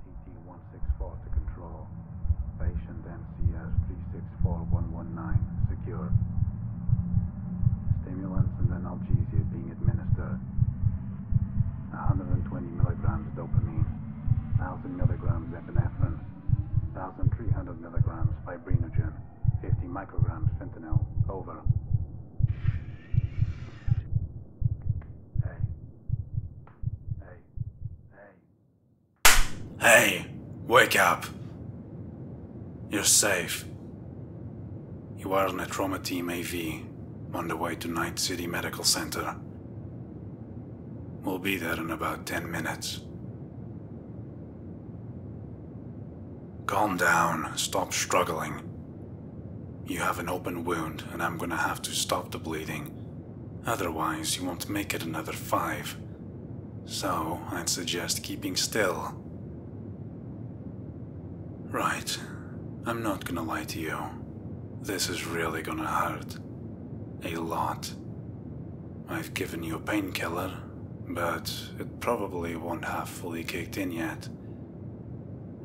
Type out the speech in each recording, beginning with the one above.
TT-164 to control. Patient mcs 364119 secure. Stimulants and analgesia being administered. 120 milligrams dopamine, 1000 milligrams epinephrine, 1300 milligrams fibrinogen, 50 micrograms fentanyl. Over. Hey, wake up. You're safe. You are on a trauma team AV on the way to Night City Medical Center. We'll be there in about 10 minutes. Calm down, stop struggling. You have an open wound, and I'm gonna have to stop the bleeding. Otherwise, you won't make it another five. So, I'd suggest keeping still. Right. I'm not gonna lie to you. This is really gonna hurt. A lot. I've given you a painkiller, but it probably won't have fully kicked in yet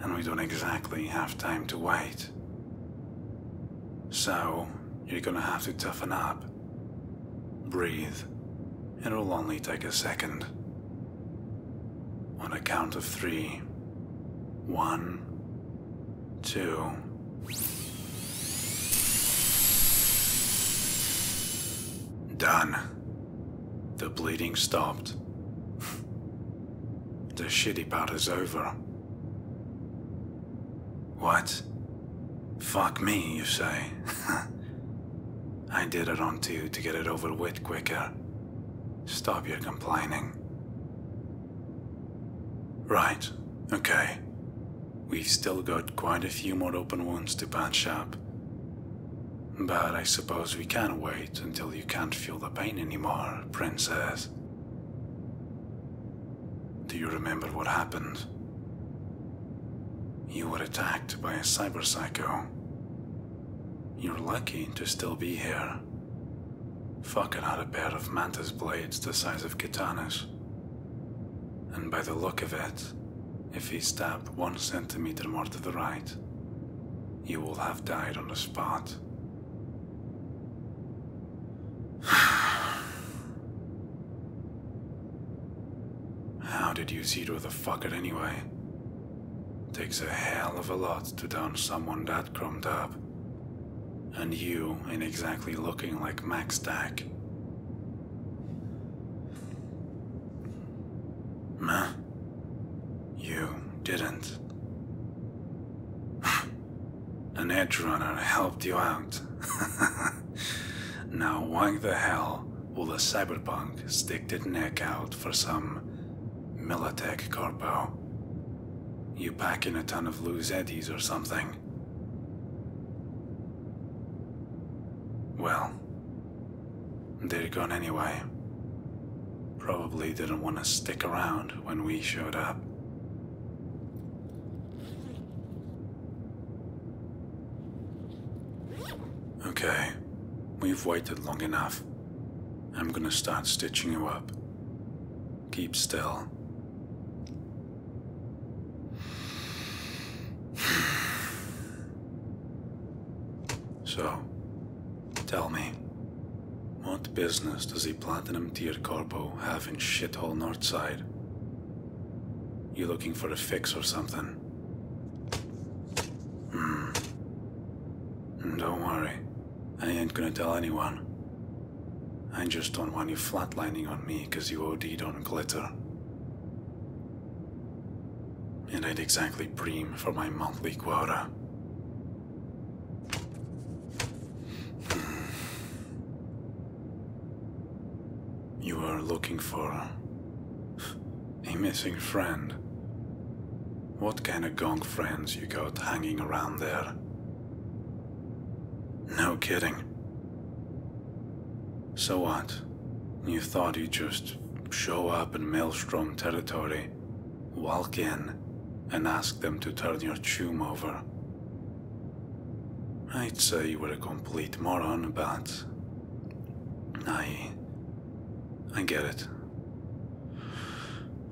and we don't exactly have time to wait. So, you're gonna have to toughen up. Breathe. It'll only take a second. On a count of three. One, two. Done. The bleeding stopped. the shitty part is over. What? Fuck me, you say? I did it on to you to get it over with quicker. Stop your complaining. Right, okay. We've still got quite a few more open wounds to patch up. But I suppose we can wait until you can't feel the pain anymore, Princess. Do you remember what happened? You were attacked by a cyber psycho. You're lucky to still be here. Fucking had a pair of mantis blades the size of katanas. And by the look of it, if he stabbed one centimeter more to the right, you will have died on the spot. How did you see through the fucker anyway? Takes a hell of a lot to down someone that chromed up. And you ain't exactly looking like Max Stack. Meh. You didn't. An edge runner helped you out. now why the hell will a cyberpunk stick their neck out for some Militech corpo? You pack in a ton of loose eddies or something. Well, they are gone anyway. Probably didn't want to stick around when we showed up. Okay, we've waited long enough. I'm gonna start stitching you up. Keep still. So, tell me, what business does the Platinum Tier Corpo have in shithole Northside? You looking for a fix or something? Hmm. Don't worry. I ain't gonna tell anyone. I just don't want you flatlining on me 'cause you OD'd on glitter. And I'd exactly preem for my monthly quota. Hmm. You are looking for a missing friend. What kind of gong friends you got hanging around there? No kidding. So what? You thought you'd just show up in Maelstrom territory, walk in, and ask them to turn your tomb over. I'd say you were a complete moron, but... I... I get it.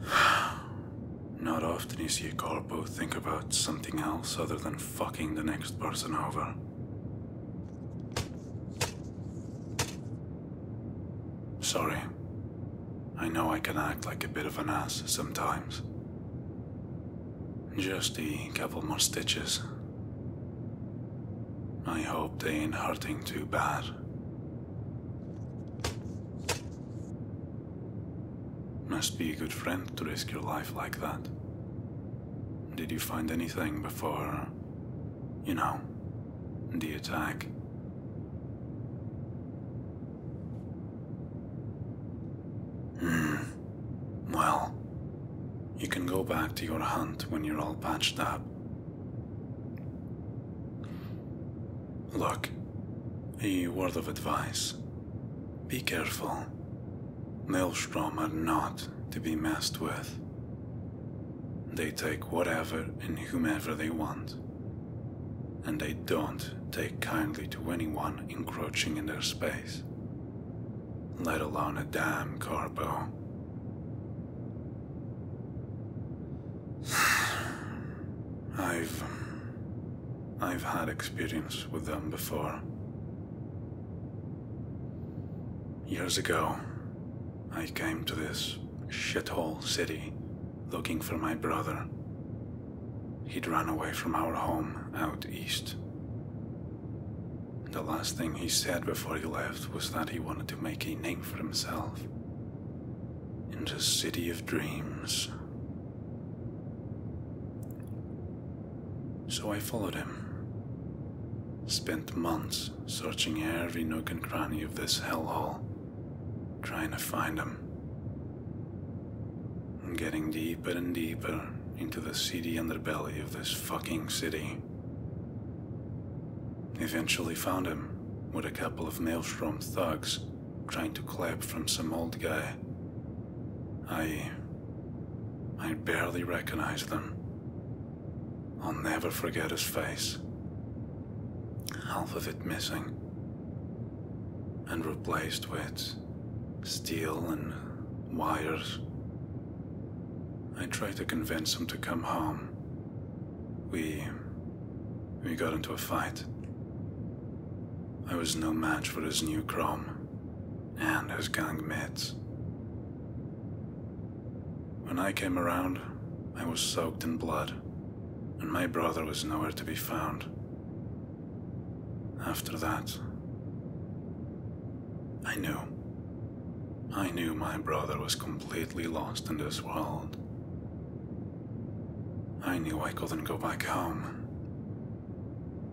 Not often you see a corpo think about something else other than fucking the next person over. Sorry. I know I can act like a bit of an ass sometimes. Just a couple more stitches. I hope they ain't hurting too bad. Must be a good friend to risk your life like that. Did you find anything before, you know, the attack? Hmm. Well, you can go back to your hunt when you're all patched up. Look, a word of advice. Be careful. Maelstrom are not to be messed with. They take whatever and whomever they want, and they don't take kindly to anyone encroaching in their space, let alone a damn carbo. I've. I've had experience with them before. Years ago, I came to this shithole city looking for my brother. He'd run away from our home out east. The last thing he said before he left was that he wanted to make a name for himself. In the City of Dreams, so I followed him. Spent months searching every nook and cranny of this hellhole, trying to find him. getting deeper and deeper into the seedy underbelly of this fucking city. Eventually found him with a couple of maelstrom thugs trying to clap from some old guy. I. I barely recognize them. I'll never forget his face. Half of it missing. And replaced with steel and wires. I tried to convince him to come home. We. we got into a fight. I was no match for his new chrome and his gang mates. When I came around, I was soaked in blood, and my brother was nowhere to be found. After that, I knew. I knew my brother was completely lost in this world. I knew I couldn't go back home.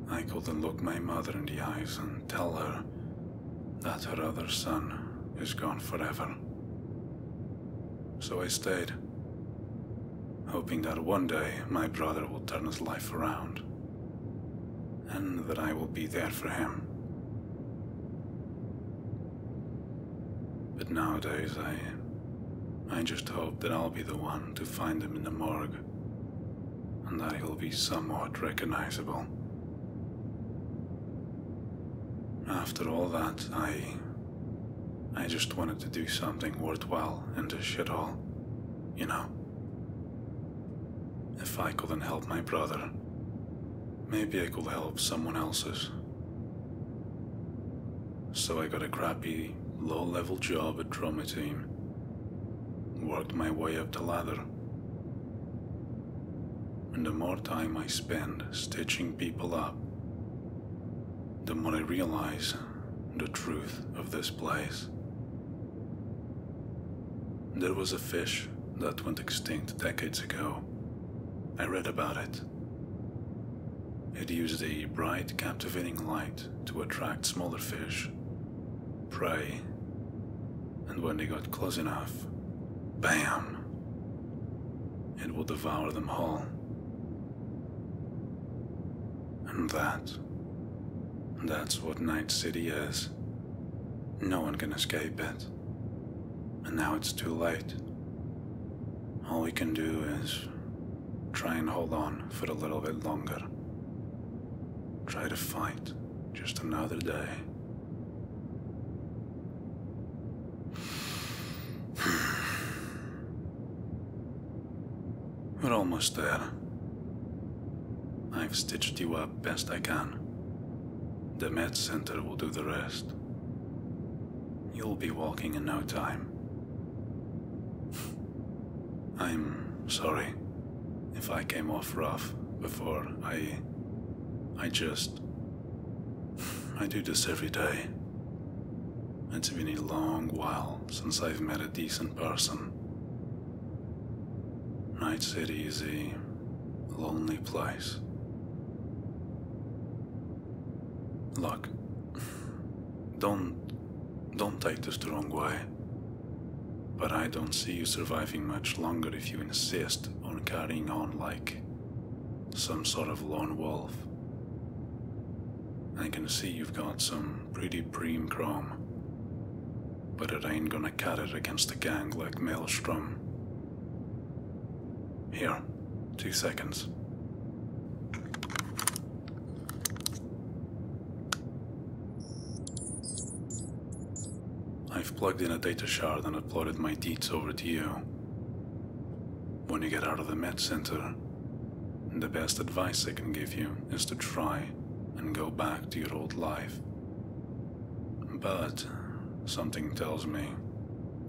I couldn't look my mother in the eyes and tell her that her other son is gone forever. So I stayed, hoping that one day my brother will turn his life around, and that I will be there for him. But nowadays I I just hope that I'll be the one to find him in the morgue, and that he'll be somewhat recognizable. After all that, I. I just wanted to do something worthwhile in this shithole, you know? If I couldn't help my brother, maybe I could help someone else's so I got a crappy, low level job at Trauma Team. Worked my way up the ladder. And the more time I spend stitching people up, the more I realize the truth of this place. There was a fish that went extinct decades ago. I read about it. It used a bright, captivating light to attract smaller fish, prey, and when they got close enough, BAM! It will devour them all. And that. That's what Night City is. No one can escape it. And now it's too late. All we can do is Try and hold on for a little bit longer. Try to fight just another day. We're almost there. I've stitched you up best I can. The Med Center will do the rest. You'll be walking in no time. I'm sorry if I came off rough before I. I just. I do this every day. It's been a long while since I've met a decent person. Night City is a lonely place. Look, don't don't take this the wrong way. But I don't see you surviving much longer if you insist on carrying on like some sort of lone wolf. I can see you've got some pretty preem chrome, but it ain't gonna cut it against a gang like Maelstrom. Here, two seconds. I've plugged in a data shard and uploaded my deeds over to you. When you get out of the med center, the best advice I can give you is to try and go back to your old life. But something tells me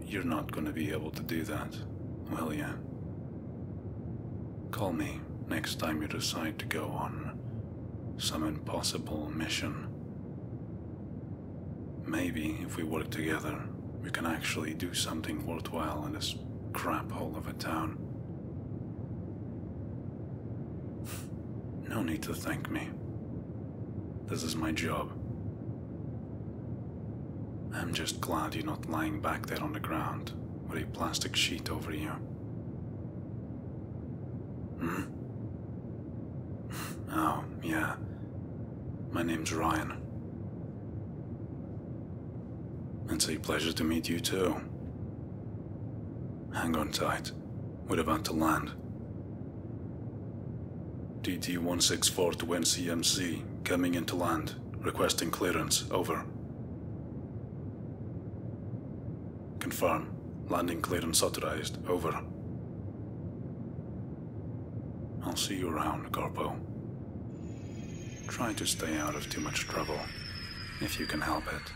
you're not going to be able to do that will you? Call me next time you decide to go on some impossible mission. Maybe if we work together, we can actually do something worthwhile in this crap hole of a town. No need to thank me. This is my job. I'm just glad you're not lying back there on the ground with a plastic sheet over you. Hmm? Oh, yeah. My name's Ryan. It's a pleasure to meet you too. Hang on tight. We're about to land. DT-164 to NCMC, coming into land, requesting clearance, over. Confirm, landing clearance authorized, over. I'll see you around, Corpo. Try to stay out of too much trouble, if you can help it.